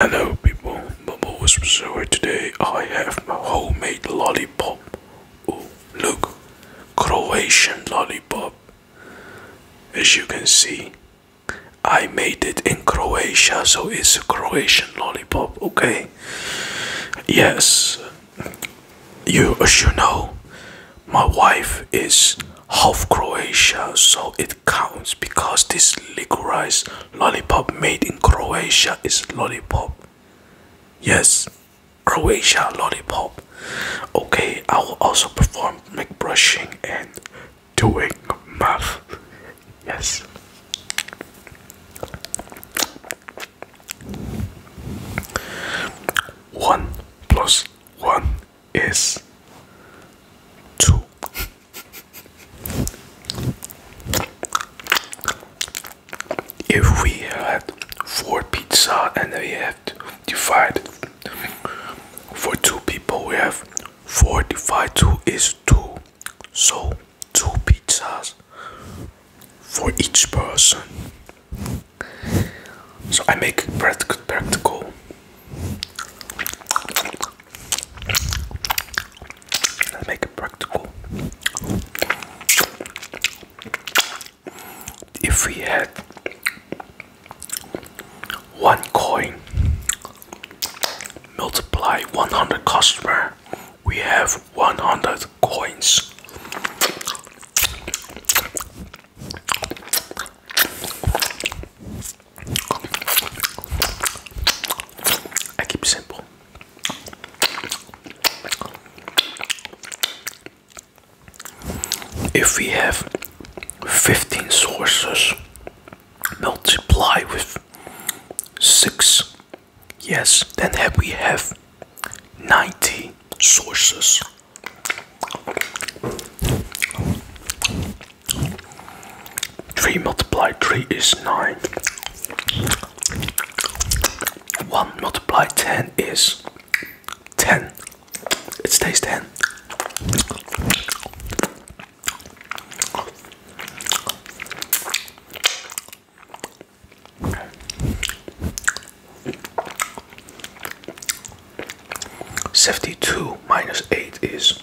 Hello people, Bubble Whispers here today. I have my homemade lollipop. Oh, look, Croatian lollipop. As you can see, I made it in Croatia, so it's a Croatian lollipop, okay? Yes, you as you know, my wife is half Croatia, so it counts because this licorice Lollipop made in Croatia is lollipop. Yes, Croatia lollipop. Okay, I will also perform make brushing and doing math. Yes. One plus one is two. If we had four pizza and we have to divide for two people, we have four divided two is two, so two pizzas for each person. So I make practical. practical. Let's make it practical. If we had one coin multiply 100 customer, we have 100 coins. I keep simple. If we have 15 sources, multiply with 6, yes, then have we have 90 sources. 3 multiplied 3 is 9. 1 multiplied 10 is 10. It stays 10. Seventy two minus eight is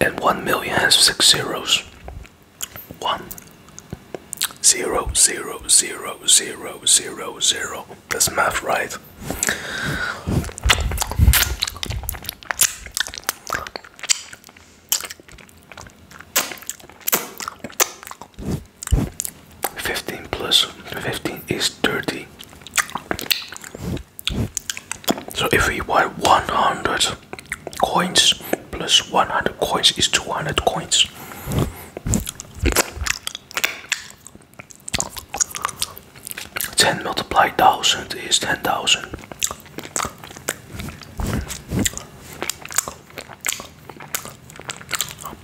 and 1 million has 6 zeros 1 0 0 0 0 0 0 that's math right Fifteen plus fifteen is thirty. So if we want 100 coins plus 100 coins is 200 coins. Ten multiplied thousand is ten thousand.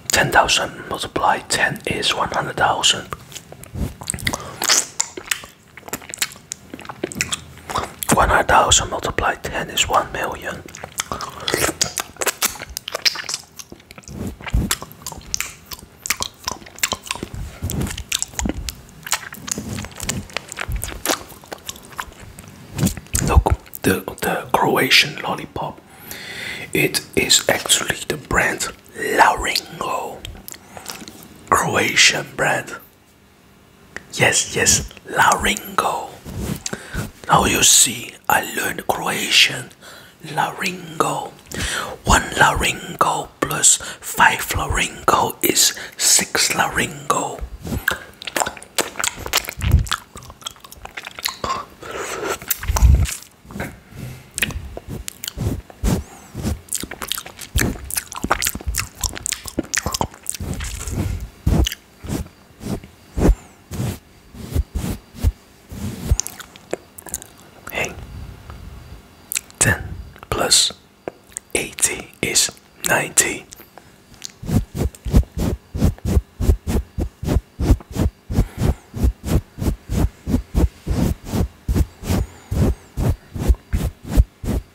Ten thousand multiplied ten is one hundred thousand. One hundred thousand multiplied ten is one million. Look, the the Croatian lollipop. It is actually the brand Laringo, Croatian brand. Yes, yes, Laringo. Now you see, I learned Croatian. Laringo. One laringo plus five laringo is six laringo. Hey, 10 plus 80 is 90.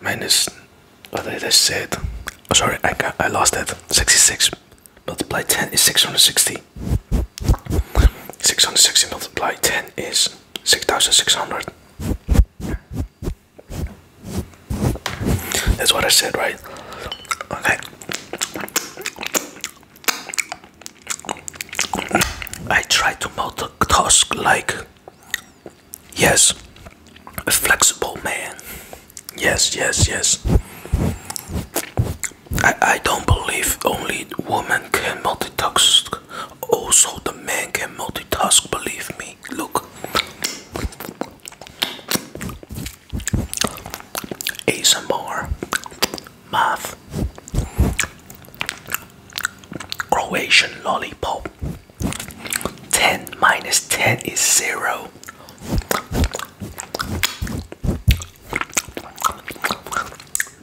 minus what did I say? Oh, sorry, I I lost it. 66 multiplied 10 is 660. 660 multiplied 10 is 6600. That's what I said, right? Okay. I try to multitask like Yes. A flexible man. Yes, yes, yes. I, I don't believe only woman can multitask. Also the man can multitask, believe me. Look. ASMR. Math. Croatian lollipop. 10 minus 10 is 0.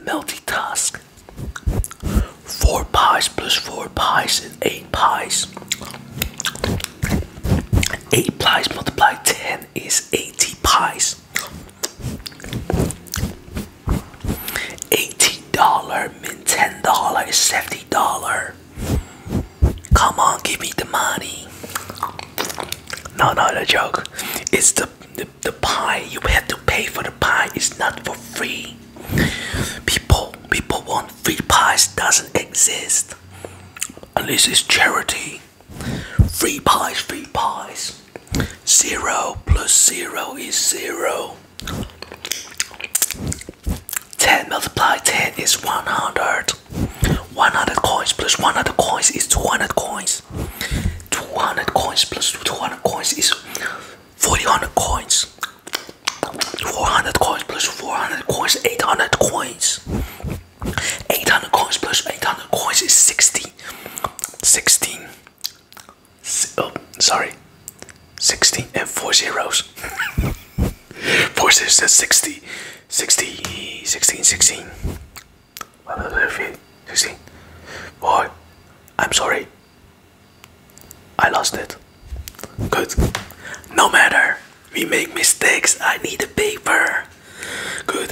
'Multitask'. 4 pies plus 4 pies is 8 pies. 8 pies multiplied 10 is 80 pies. 80 $50, $10, $70. Come on, give me the money. No, no, no joke. It's the, the, the pie. You have to pay for the pie. It's not for free. People, people want free pies. Doesn't exist. Unless it's charity. Free pies, free pies. Zero plus zero is zero. 10 multiplied 10 is 100 100 coins plus 100 coins is 200 coins 200 coins plus 200 coins is 400 coins 400 coins plus 400 coins 800 coins 800 coins plus 800 coins is 60 16 S oh, sorry 16 and four zeros. four zeros is 60. 60, 16, 16. 16. Boy, I'm sorry. I lost it. Good. No matter. We make mistakes. I need a paper. Good.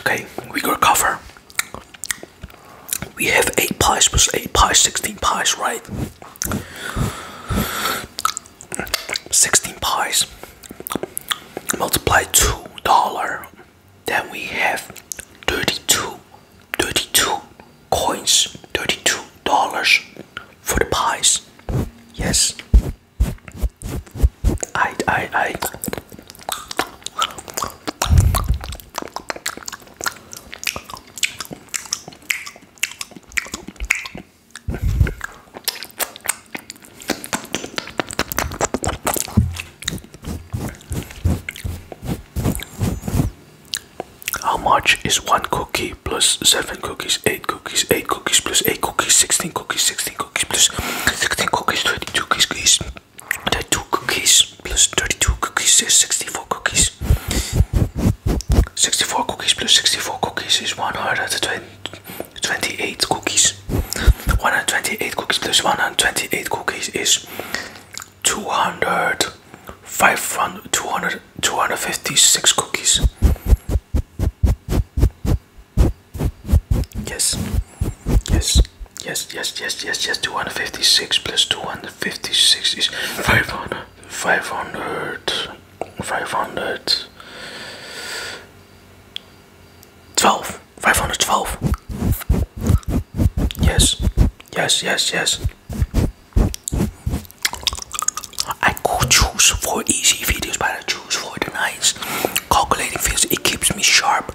Okay, we go cover we have 8 pies plus 8 pies, 16 pies, right? 16 pies multiply $2, then we have 32, 32 coins, $32 for the pies. Yes. I, I, I. How much is one cookie plus seven cookies, eight cookies, eight cookies plus eight cookies, sixteen cookies, sixteen cookies plus sixteen cookies, twenty-two cookies? there 2 cookies plus 32 cookies is 64 cookies 64 cookies plus 64 cookies is 128 cookies 128 cookies plus 128 cookies is 200 500 256 cookies yes yes Yes, yes, yes, yes, yes. 256 plus 256 is 500. 500. 500. 12. 512. Yes. Yes, yes, yes. I choose for easy videos, but I choose for the nice calculating videos. It keeps me sharp.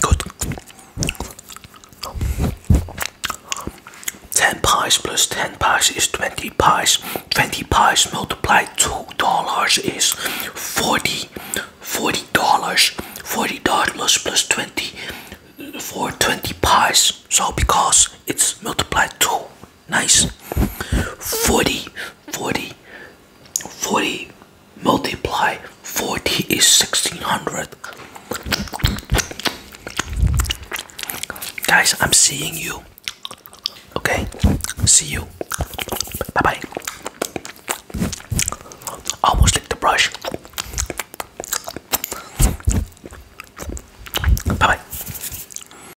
Good. Ten pies plus ten pies is twenty pies. Twenty pies multiplied two dollars is forty. Forty dollars. Forty dollars plus twenty for twenty pies. So because it's multiplied two Nice. 40, 40, 40 multiply 40 is 1600. Guys, I'm seeing you. Okay, see you. Bye bye. Almost licked the brush. Bye bye.